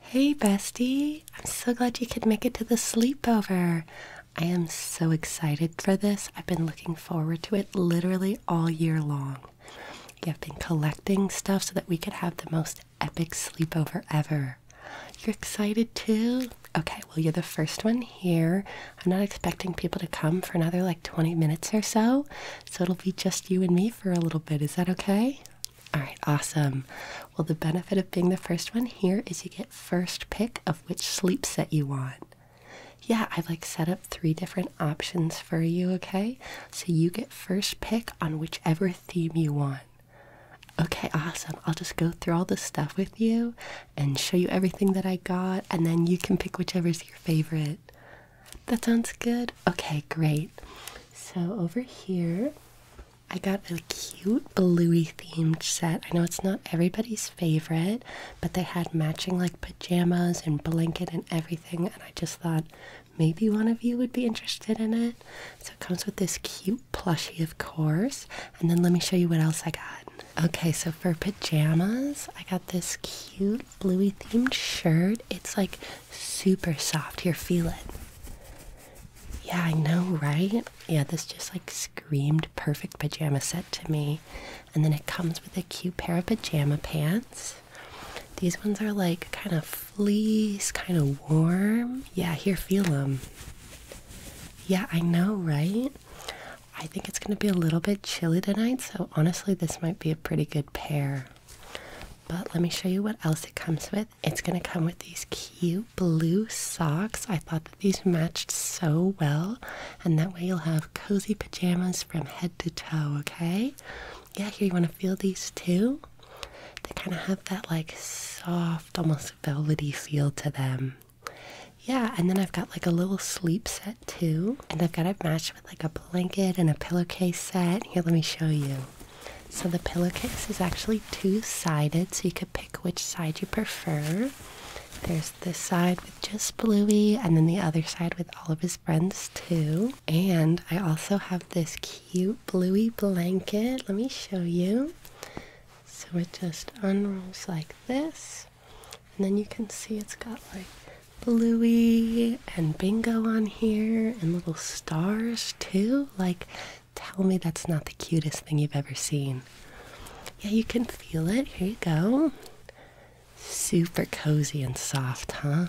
Hey, bestie! I'm so glad you could make it to the sleepover. I am so excited for this. I've been looking forward to it literally all year long. you have been collecting stuff so that we could have the most epic sleepover ever. You're excited too? Okay, well, you're the first one here. I'm not expecting people to come for another like 20 minutes or so, so it'll be just you and me for a little bit. Is that okay? All right, awesome. Well, the benefit of being the first one here is you get first pick of which sleep set you want. Yeah, I've like set up three different options for you, okay? So you get first pick on whichever theme you want. Okay, awesome. I'll just go through all the stuff with you and show you everything that I got, and then you can pick whichever's your favorite. That sounds good? Okay, great. So over here, I got a cute bluey themed set. I know it's not everybody's favorite, but they had matching like pajamas and blanket and everything, and I just thought maybe one of you would be interested in it. So it comes with this cute plushie, of course, and then let me show you what else I got. Okay, so for pajamas, I got this cute bluey themed shirt. It's like super soft. Here, feel it. Yeah, I know, right? Yeah, this just like screamed perfect pajama set to me. And then it comes with a cute pair of pajama pants. These ones are like kind of fleece, kind of warm. Yeah, here, feel them. Yeah, I know, right? I think it's going to be a little bit chilly tonight, so honestly, this might be a pretty good pair. But let me show you what else it comes with. It's going to come with these cute blue socks. I thought that these matched so well. And that way you'll have cozy pajamas from head to toe, okay? Yeah, here you want to feel these too? They kind of have that like soft, almost velvety feel to them. Yeah, and then I've got like a little sleep set too. And I've got it matched with like a blanket and a pillowcase set. Here, let me show you. So the pillowcase is actually two-sided, so you could pick which side you prefer. There's this side with just Bluey, and then the other side with all of his friends too. And I also have this cute Bluey blanket. Let me show you. So it just unrolls like this, and then you can see it's got like Bluey and bingo on here and little stars too. Like, tell me that's not the cutest thing you've ever seen. Yeah, you can feel it. Here you go. Super cozy and soft, huh?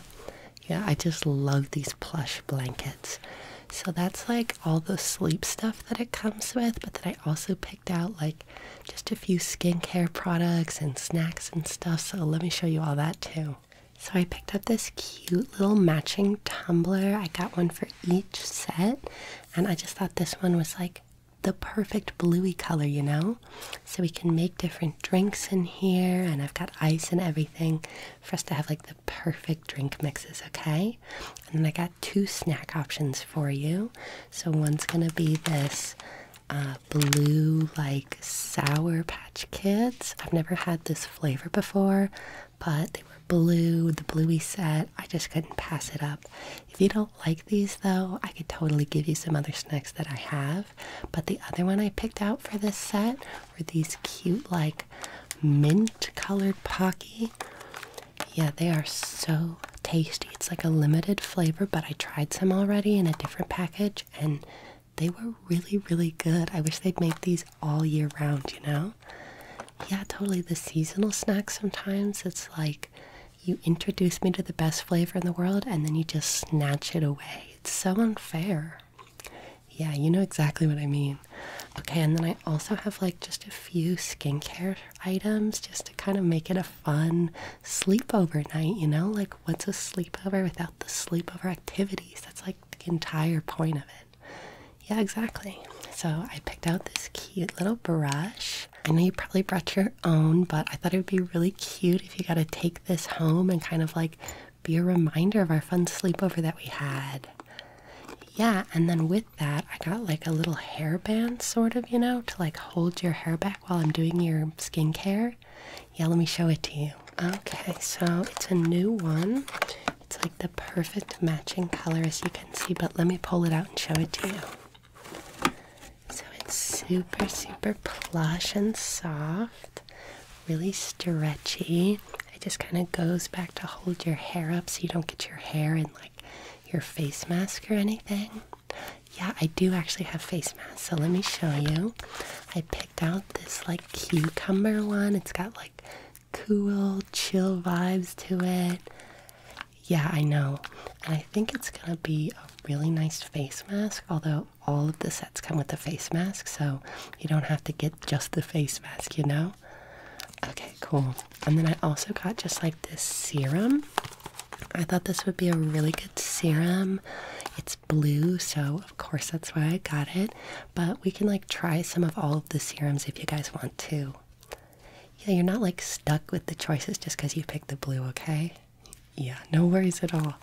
Yeah, I just love these plush blankets. So that's like all the sleep stuff that it comes with, but then I also picked out like just a few skincare products and snacks and stuff. So let me show you all that too. So I picked up this cute little matching tumbler. I got one for each set, and I just thought this one was like the perfect bluey color, you know? So we can make different drinks in here, and I've got ice and everything for us to have like the perfect drink mixes, okay? And then I got two snack options for you. So one's gonna be this uh, blue, like sour patch kids. I've never had this flavor before, but they were blue, the bluey set. I just couldn't pass it up. If you don't like these though, I could totally give you some other snacks that I have. But the other one I picked out for this set were these cute, like mint colored Pocky. Yeah, they are so tasty. It's like a limited flavor, but I tried some already in a different package and they were really, really good. I wish they'd make these all year round, you know? Yeah, totally. The seasonal snacks sometimes, it's like you introduce me to the best flavor in the world and then you just snatch it away. It's so unfair. Yeah, you know exactly what I mean. Okay, and then I also have like just a few skincare items just to kind of make it a fun sleepover night, you know? Like, what's a sleepover without the sleepover activities? That's like the entire point of it. Yeah, exactly. So I picked out this cute little brush. I know you probably brought your own, but I thought it would be really cute if you got to take this home and kind of like be a reminder of our fun sleepover that we had. Yeah, and then with that, I got like a little hairband, sort of, you know, to like hold your hair back while I'm doing your skincare. Yeah, let me show it to you. Okay, so it's a new one. It's like the perfect matching color as you can see, but let me pull it out and show it to you. So it's super, super plush and soft, really stretchy. It just kind of goes back to hold your hair up so you don't get your hair in like your face mask or anything. Yeah, I do actually have face masks, so let me show you. I picked out this like cucumber one. It's got like cool, chill vibes to it. Yeah, I know. And I think it's gonna be a really nice face mask, although all of the sets come with a face mask, so you don't have to get just the face mask, you know? Okay, cool. And then I also got just like this serum. I thought this would be a really good serum. It's blue, so of course that's why I got it. But we can like try some of all of the serums if you guys want to. Yeah, you're not like stuck with the choices just because you picked the blue, okay? Yeah, no worries at all.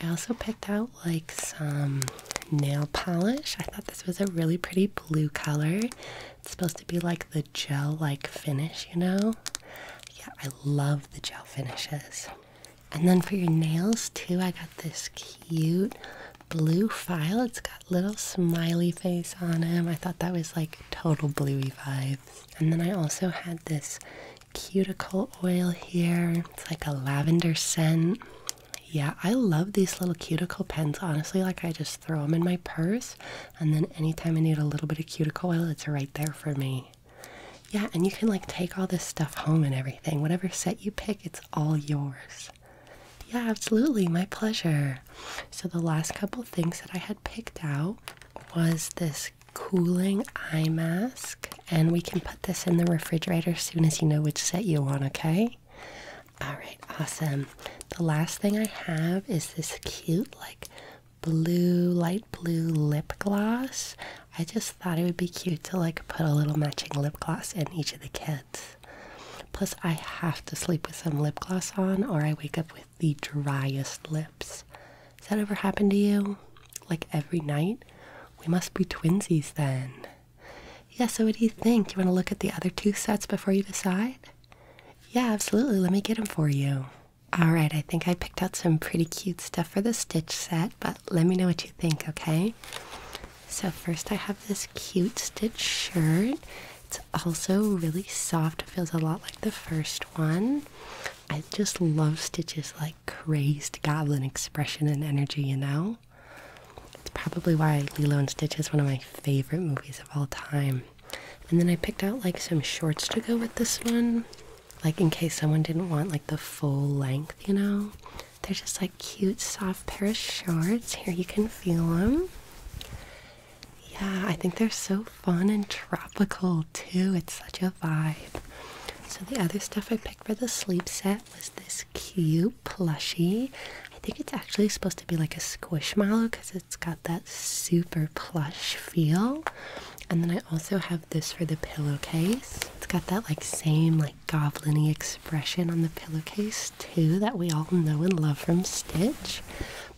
I also picked out like some nail polish. I thought this was a really pretty blue color. It's supposed to be like the gel like finish, you know? Yeah, I love the gel finishes. And then for your nails, too, I got this cute blue file. It's got little smiley face on him. I thought that was like total bluey vibes. And then I also had this cuticle oil here. It's like a lavender scent. Yeah, I love these little cuticle pens. Honestly, like I just throw them in my purse, and then anytime I need a little bit of cuticle oil, it's right there for me. Yeah, and you can like take all this stuff home and everything. Whatever set you pick, it's all yours. Yeah, absolutely. My pleasure. So the last couple things that I had picked out was this cooling eye mask and we can put this in the refrigerator as soon as you know which set you want, okay? All right, awesome. The last thing I have is this cute like blue, light blue lip gloss. I just thought it would be cute to like put a little matching lip gloss in each of the kits. Plus, I have to sleep with some lip gloss on, or I wake up with the driest lips. Has that ever happened to you? Like every night? We must be twinsies then. Yeah, so what do you think? you want to look at the other two sets before you decide? Yeah, absolutely. Let me get them for you. Alright, I think I picked out some pretty cute stuff for the Stitch set, but let me know what you think, okay? So, first, I have this cute stitch shirt. It's also really soft, it feels a lot like the first one. I just love Stitch's like crazed goblin expression and energy, you know? It's probably why Lilo and Stitch is one of my favorite movies of all time. And then I picked out like some shorts to go with this one like in case someone didn't want like the full length, you know. They're just like cute, soft pair of shorts. Here you can feel them. Yeah, I think they're so fun and tropical too. It's such a vibe. So the other stuff I picked for the sleep set was this cute plushy. I think it's actually supposed to be like a squishmallow because it's got that super plush feel. And then I also have this for the pillowcase. It's got that like same like goblin-y expression on the pillowcase too that we all know and love from Stitch.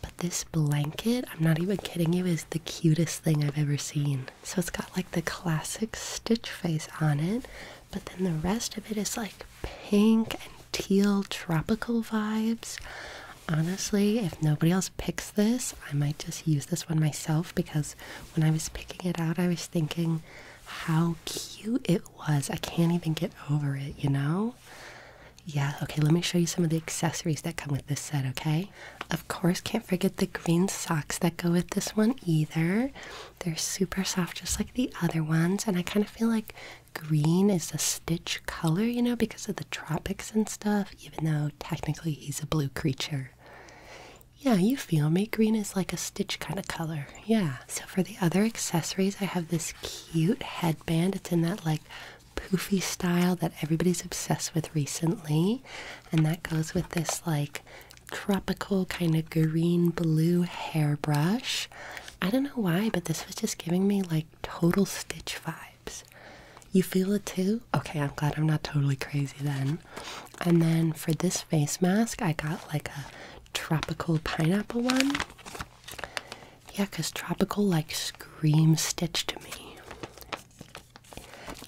But this blanket, I'm not even kidding you, is the cutest thing I've ever seen. So it's got like the classic Stitch face on it, but then the rest of it is like pink and teal tropical vibes. Honestly, if nobody else picks this, I might just use this one myself because when I was picking it out, I was thinking how cute it was. I can't even get over it, you know? Yeah, okay, let me show you some of the accessories that come with this set, okay? Of course, can't forget the green socks that go with this one either. They're super soft, just like the other ones, and I kind of feel like green is the stitch color, you know, because of the tropics and stuff, even though technically he's a blue creature. Yeah, you feel me. Green is like a stitch kind of color. Yeah. So for the other accessories, I have this cute headband. It's in that like poofy style that everybody's obsessed with recently. And that goes with this like tropical kind of green blue hairbrush. I don't know why, but this was just giving me like total stitch vibes. You feel it too? Okay, I'm glad I'm not totally crazy then. And then for this face mask, I got like a tropical pineapple one. Yeah, because tropical like screams stitch to me.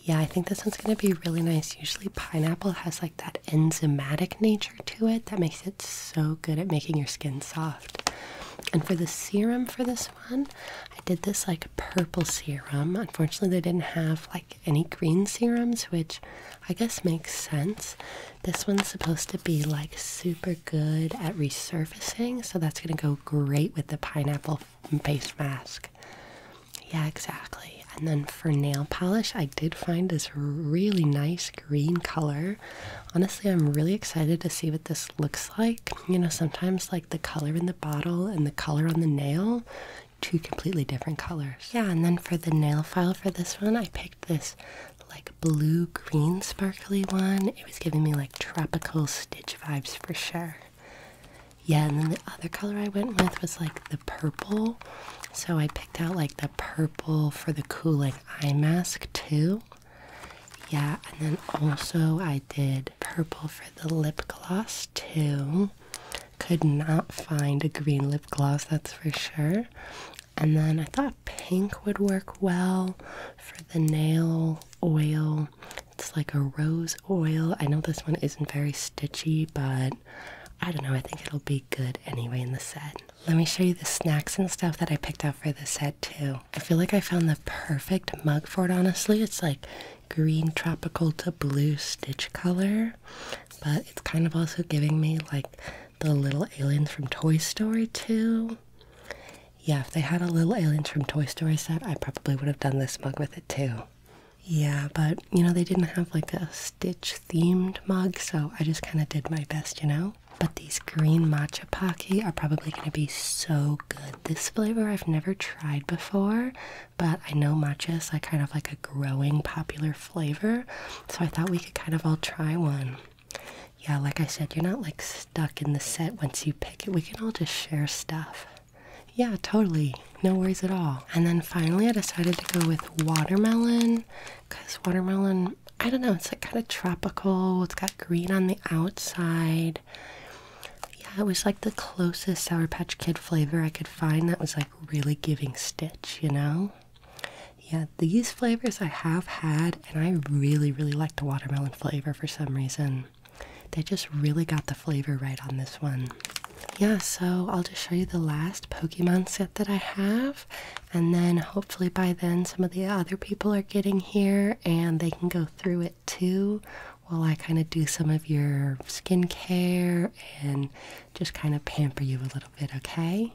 Yeah, I think this one's going to be really nice. Usually pineapple has like that enzymatic nature to it that makes it so good at making your skin soft. And for the serum for this one. I did this like purple serum. Unfortunately, they didn't have like any green serums, which I guess makes sense. This one's supposed to be like super good at resurfacing, so that's gonna go great with the pineapple face mask. Yeah, exactly. And then for nail polish, I did find this really nice green color. Honestly, I'm really excited to see what this looks like. You know, sometimes like the color in the bottle and the color on the nail, two completely different colors. Yeah, and then for the nail file for this one, I picked this like blue green sparkly one. It was giving me like tropical stitch vibes for sure. Yeah, and then the other color I went with was like the purple. So I picked out like the purple for the cool like eye mask too. Yeah, and then also I did purple for the lip gloss too. Could not find a green lip gloss, that's for sure. And then I thought pink would work well for the nail oil. It's like a rose oil. I know this one isn't very stitchy, but I don't know. I think it'll be good anyway in the set. Let me show you the snacks and stuff that I picked out for the set too. I feel like I found the perfect mug for it, honestly. It's like green tropical to blue stitch color, but it's kind of also giving me like the little aliens from Toy Story 2. Yeah, if they had a little aliens from Toy Story set, I probably would have done this mug with it too. Yeah, but you know, they didn't have like a stitch themed mug, so I just kind of did my best, you know? But these green matcha pocky are probably going to be so good. This flavor I've never tried before, but I know matcha is like kind of like a growing popular flavor, so I thought we could kind of all try one. Yeah, like I said, you're not like stuck in the set once you pick it. We can all just share stuff. Yeah, totally. No worries at all. And then finally, I decided to go with watermelon because watermelon, I don't know, it's like kind of tropical. It's got green on the outside. Yeah, it was like the closest Sour Patch Kid flavor I could find that was like really giving Stitch, you know? Yeah, these flavors I have had, and I really, really like the watermelon flavor for some reason. They just really got the flavor right on this one. Yeah, so I'll just show you the last Pokemon set that I have, and then hopefully by then some of the other people are getting here and they can go through it. Two, while I kind of do some of your skincare and just kind of pamper you a little bit, okay?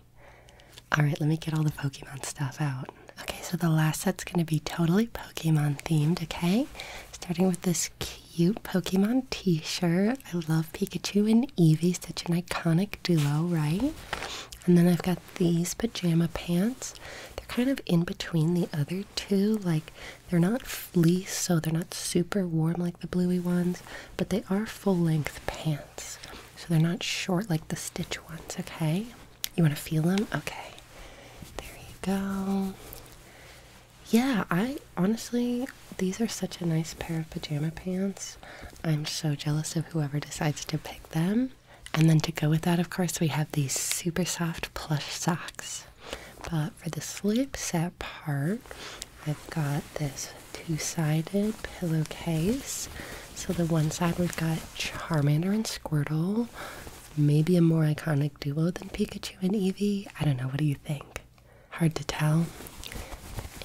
All right, let me get all the Pokemon stuff out. Okay, so the last set's going to be totally Pokemon themed, okay? Starting with this cute Pokemon t shirt. I love Pikachu and Eevee, such an iconic duo, right? And then I've got these pajama pants. They're kind of in between the other two, like they're not fleece, so they're not super warm like the bluey ones, but they are full length pants. So they're not short like the stitch ones, okay? You want to feel them? Okay. There you go. Yeah, I honestly, these are such a nice pair of pajama pants. I'm so jealous of whoever decides to pick them. And then to go with that, of course, we have these super soft plush socks. But for the sleep set part, I've got this two-sided pillowcase. So the one side we've got Charmander and Squirtle, maybe a more iconic duo than Pikachu and Eevee. I don't know. What do you think? Hard to tell.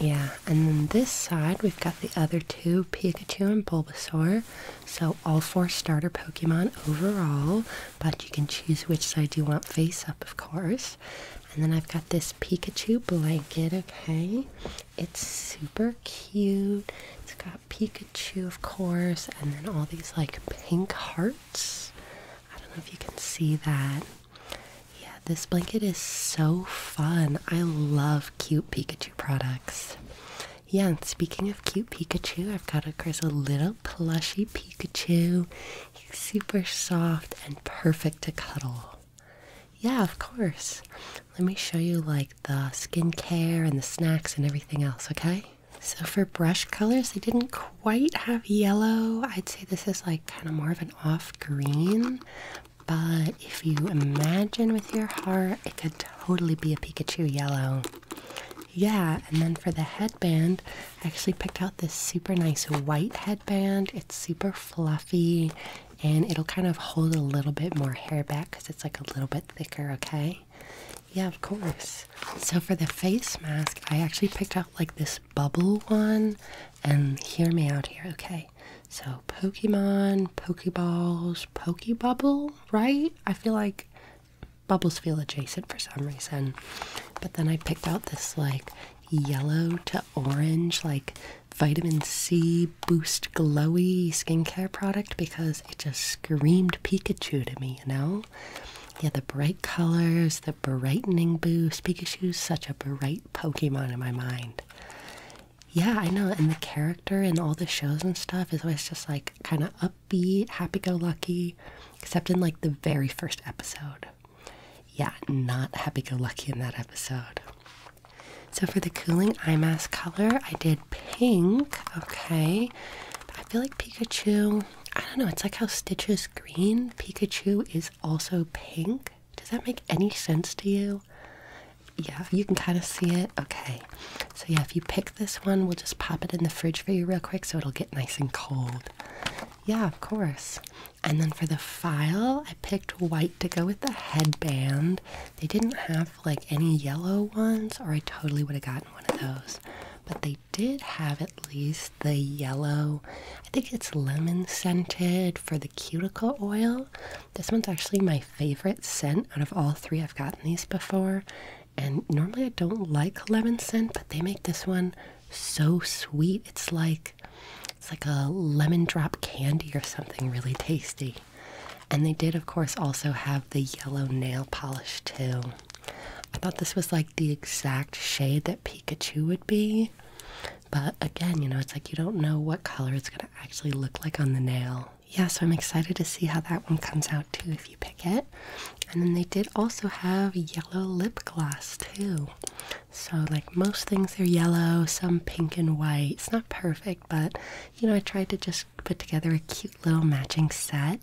Yeah, and then this side we've got the other two, Pikachu and Bulbasaur. So all four starter Pokemon overall, but you can choose which side you want face up, of course. And then I've got this Pikachu blanket, okay? It's super cute. It's got Pikachu, of course, and then all these like pink hearts. I don't know if you can see that. Yeah, this blanket is so fun. I love cute Pikachu products. Yeah, and speaking of cute Pikachu, I've got, of course, a little plushy Pikachu. He's super soft and perfect to cuddle. Yeah, of course. Let me show you like the skincare and the snacks and everything else, okay? So for brush colors, they didn't quite have yellow. I'd say this is like kind of more of an off green. But if you imagine with your heart, it could totally be a Pikachu yellow. Yeah, and then for the headband, I actually picked out this super nice white headband. It's super fluffy and it'll kind of hold a little bit more hair back because it's like a little bit thicker, okay? Yeah, of course. So for the face mask, I actually picked out like this bubble one. And hear me out here, okay? So Pokemon, Pokeballs, Pokebubble, right? I feel like Bubbles feel adjacent for some reason. But then I picked out this like yellow to orange, like vitamin C boost glowy skincare product because it just screamed Pikachu to me, you know? Yeah, the bright colors, the brightening boost. Pikachu's such a bright Pokemon in my mind. Yeah, I know. And the character in all the shows and stuff is always just like kind of up. Be happy go lucky, except in like the very first episode. Yeah, not happy go lucky in that episode. So for the cooling eye mask color, I did pink. Okay. I feel like Pikachu, I don't know, it's like how Stitch is green, Pikachu is also pink. Does that make any sense to you? Yeah, you can kind of see it. Okay. So, yeah, if you pick this one, we'll just pop it in the fridge for you real quick so it'll get nice and cold. Yeah, of course. And then for the file, I picked white to go with the headband. They didn't have like any yellow ones, or I totally would have gotten one of those. But they did have at least the yellow, I think it's lemon scented for the cuticle oil. This one's actually my favorite scent out of all three. I've gotten these before, and normally I don't like lemon scent, but they make this one so sweet. It's like it's like a lemon drop candy or something really tasty. And they did of course also have the yellow nail polish too. I thought this was like the exact shade that Pikachu would be. But again, you know, it's like you don't know what color it's going to actually look like on the nail yeah, so I'm excited to see how that one comes out too if you pick it. And then they did also have yellow lip gloss too. So, like most things, are yellow, some pink and white. It's not perfect, but you know, I tried to just put together a cute little matching set.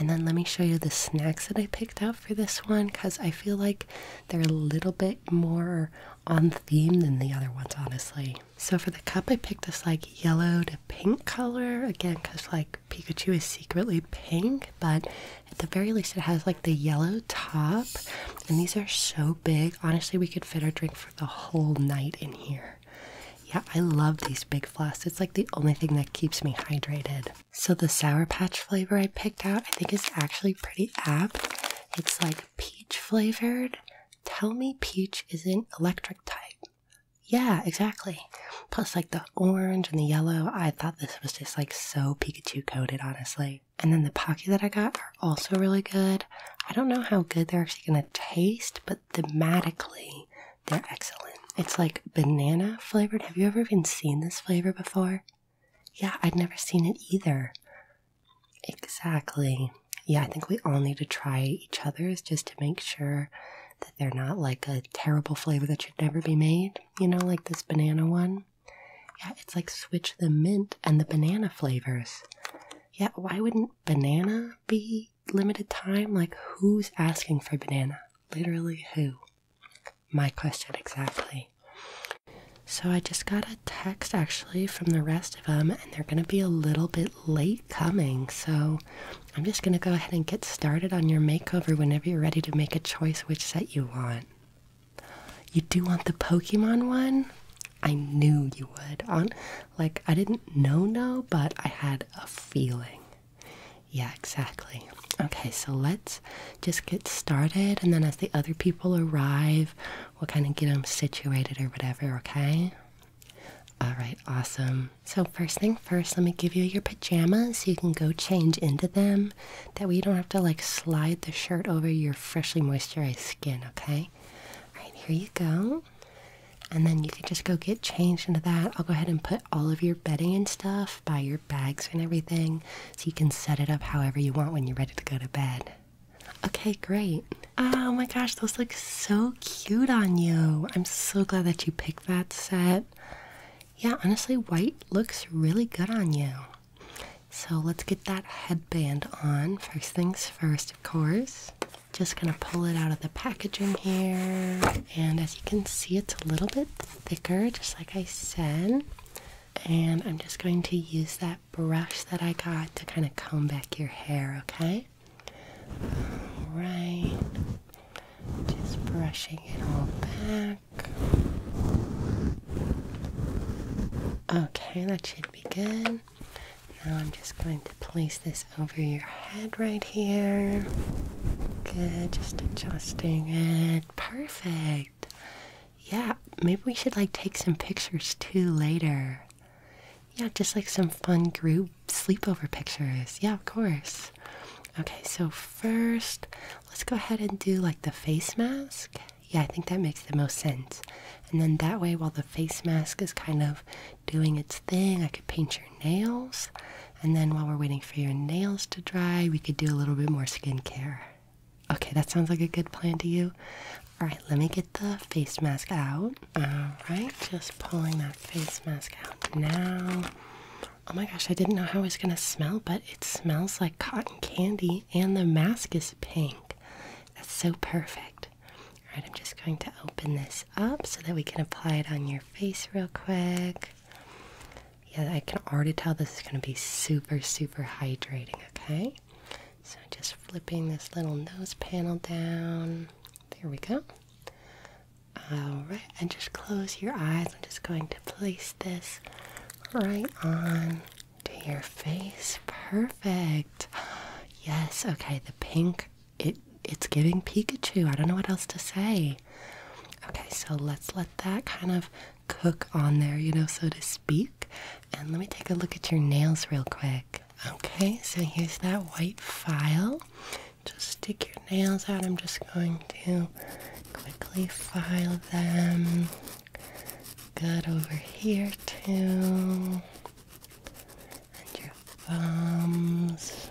And then let me show you the snacks that I picked out for this one because I feel like they're a little bit more on theme than the other ones, honestly. So for the cup, I picked this like yellow to pink color again because like Pikachu is secretly pink, but at the very least, it has like the yellow top. And these are so big. Honestly, we could fit our drink for the whole night in here. Yeah, I love these big flasks. It's like the only thing that keeps me hydrated. So the Sour Patch flavor I picked out, I think is actually pretty apt. It's like peach flavored. Tell me peach isn't electric type. Yeah, exactly. Plus, like the orange and the yellow, I thought this was just like so Pikachu coated, honestly. And then the Pocky that I got are also really good. I don't know how good they're actually gonna taste, but thematically, they're excellent. It's like banana flavored. Have you ever even seen this flavor before? Yeah, I'd never seen it either. Exactly. Yeah, I think we all need to try each other's just to make sure that they're not like a terrible flavor that should never be made. You know, like this banana one. Yeah, it's like switch the mint and the banana flavors. Yeah, why wouldn't banana be limited time? Like, who's asking for banana? Literally, who? My question exactly. So, I just got a text actually from the rest of them, and they're gonna be a little bit late coming. So, I'm just going to go ahead and get started on your makeover whenever you're ready to make a choice which set you want. You do want the Pokemon one? I knew you would. On like I didn't know no, but I had a feeling. Yeah, exactly. Okay, so let's just get started and then as the other people arrive, we'll kind of get them situated or whatever, okay? All right, awesome. So, first thing first, let me give you your pajamas so you can go change into them. That way, you don't have to like slide the shirt over your freshly moisturized skin, okay? All right, here you go. And then you can just go get changed into that. I'll go ahead and put all of your bedding and stuff by your bags and everything so you can set it up however you want when you're ready to go to bed. Okay, great. Oh my gosh, those look so cute on you. I'm so glad that you picked that set. Yeah, honestly, white looks really good on you. So let's get that headband on. First things first, of course. Just gonna pull it out of the packaging here. And as you can see, it's a little bit thicker, just like I said. And I'm just going to use that brush that I got to kind of comb back your hair, okay? Alright. Just brushing it all back. Okay, that should be good. Now I'm just going to place this over your head right here. Good, just adjusting it. Perfect. Yeah, maybe we should like take some pictures too later. Yeah, just like some fun group sleepover pictures. Yeah, of course. Okay, so first, let's go ahead and do like the face mask. Yeah, I think that makes the most sense. And then that way, while the face mask is kind of doing its thing, I could paint your nails. And then while we're waiting for your nails to dry, we could do a little bit more skincare. Okay, that sounds like a good plan to you. All right, let me get the face mask out. Alright, just pulling that face mask out now. Oh my gosh, I didn't know how it was gonna smell, but it smells like cotton candy and the mask is pink. That's so perfect. Alright, I'm just going to open this up so that we can apply it on your face real quick. Yeah, I can already tell this is gonna be super, super hydrating, okay? So just flipping this little nose panel down. There we go. Alright, and just close your eyes. I'm just going to place this right on to your face. Perfect. Yes, okay, the pink it it's giving Pikachu. I don't know what else to say. Okay, so let's let that kind of cook on there, you know, so to speak. And let me take a look at your nails real quick. Okay, so here's that white file. Just stick your nails out. I'm just going to quickly file them. Got over here, too. And your thumbs.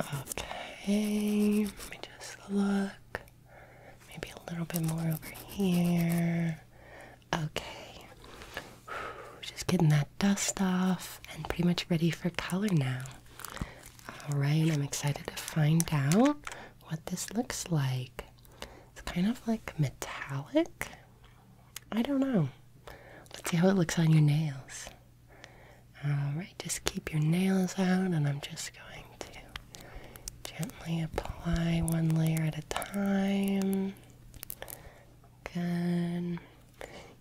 Okay, let me just look. Maybe a little bit more over here. Okay. Just getting that dust off and pretty much ready for color now. All right, I'm excited to find out what this looks like. It's kind of like metallic. I don't know. Let's see how it looks on your nails. All right, just keep your nails out and I'm just going to gently apply one layer at a time. Good.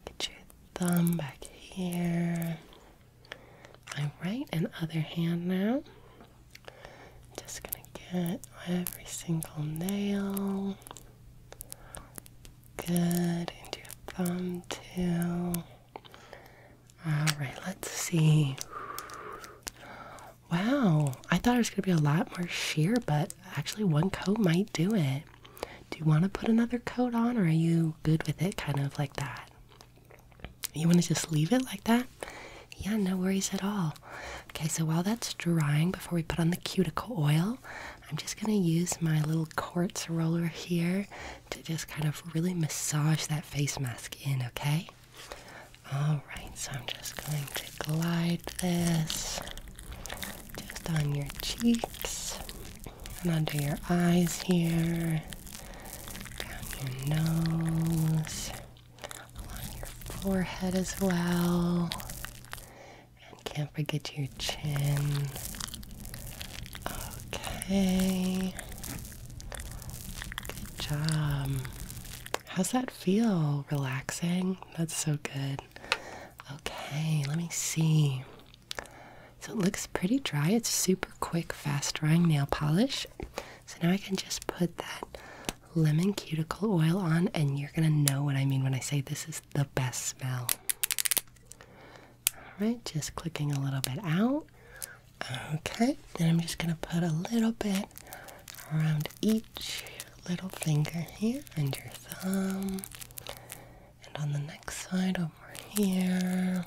Get your thumb back here. All right, and other hand now. Just gonna get every single nail. Good, and your thumb too. All right, let's see. Wow, I thought it was gonna be a lot more sheer, but actually, one coat might do it. Do you want to put another coat on, or are you good with it kind of like that? You want to just leave it like that? Yeah, no worries at all. Okay, so while that's drying, before we put on the cuticle oil, I'm just gonna use my little quartz roller here to just kind of really massage that face mask in, okay? Alright, so I'm just going to glide this just on your cheeks and under your eyes here, down your nose, along your forehead as well, and can't forget your chin. Okay. Good job. How's that feel? Relaxing? That's so good. Okay, let me see. So it looks pretty dry. It's super quick, fast drying nail polish. So now I can just put that lemon cuticle oil on, and you're gonna know what I mean when I say this is the best smell. Alright, just clicking a little bit out. Okay, then I'm just gonna put a little bit around each little finger here and your thumb. And on the next side over here.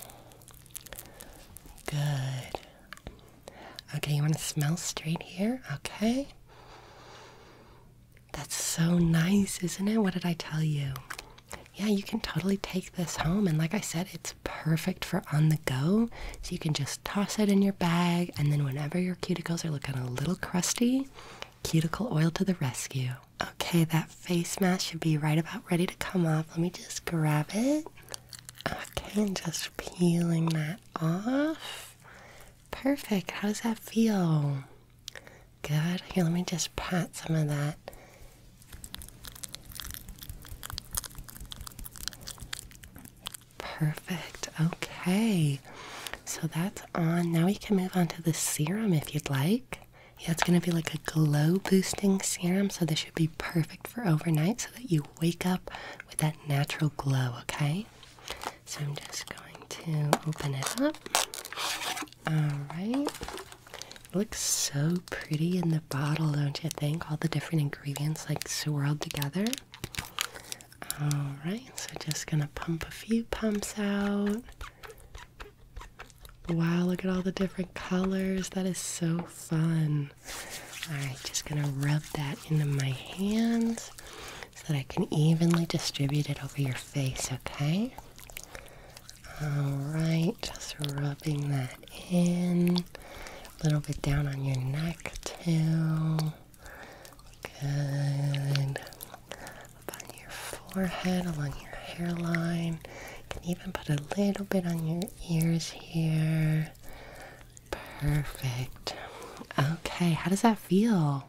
Good. Okay, you want to smell straight here? Okay. That's so nice, isn't it? What did I tell you? Yeah, you can totally take this home. And like I said, it's perfect for on the go so you can just toss it in your bag and then whenever your cuticles are looking a little crusty cuticle oil to the rescue okay that face mask should be right about ready to come off let me just grab it okay and just peeling that off perfect how does that feel good here let me just pat some of that Perfect. Okay. So that's on. Now we can move on to the serum if you'd like. Yeah, it's going to be like a glow boosting serum. So this should be perfect for overnight so that you wake up with that natural glow, okay? So I'm just going to open it up. All right. looks so pretty in the bottle, don't you think? All the different ingredients like swirled together. Alright, so just gonna pump a few pumps out. Wow, look at all the different colors. That is so fun. Alright, just gonna rub that into my hands so that I can evenly distribute it over your face, okay? Alright, just rubbing that in. A little bit down on your neck, too. Good. on your forehead, along your hairline. can even put a little bit on your ears here. Perfect. Okay, how does that feel?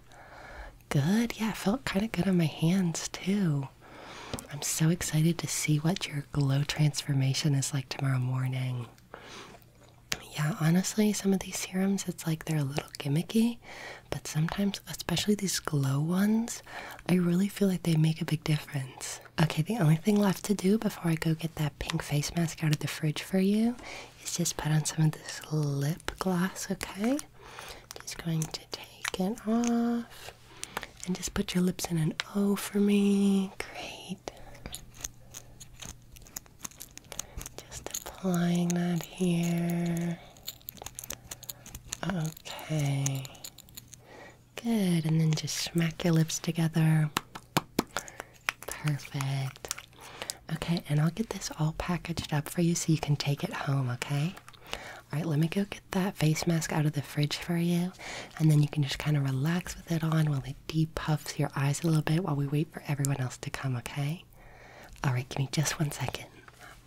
Good. Yeah, it felt kind of good on my hands too. I'm so excited to see what your glow transformation is like tomorrow morning yeah, honestly, some of these serums, it's like they're a little gimmicky, but sometimes, especially these glow ones, I really feel like they make a big difference. Okay, the only thing left to do before I go get that pink face mask out of the fridge for you is just put on some of this lip gloss, okay? Just going to take it off and just put your lips in an O for me. Great. Just applying that here. Okay. Good. And then just smack your lips together. Perfect. Okay, and I'll get this all packaged up for you so you can take it home, okay? Alright, let me go get that face mask out of the fridge for you, and then you can just kind of relax with it on while we Deep depuff your eyes a little bit while we wait for everyone else to come, okay? Alright, give me just one second.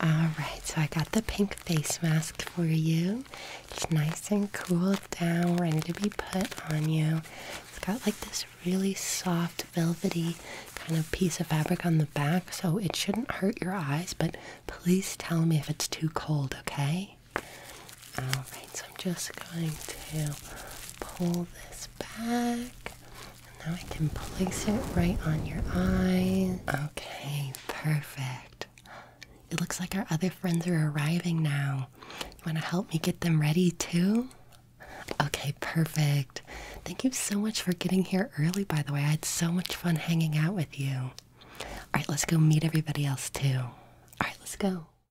Alright, so I got the pink face mask for you. It's nice and cooled down, ready to be put on you. It's got like this really soft, velvety kind of piece of fabric on the back, so it shouldn't hurt your eyes, but please tell me if it's too cold, okay? Alright, so I'm just going to pull this back. and Now I can place it right on your eye. Okay, perfect. It looks like our other friends are arriving now. You want to help me get them ready too? Okay, perfect. Thank you so much for getting here early, by the way. I had so much fun hanging out with you. All right, let's go meet everybody else too. All right, let's go.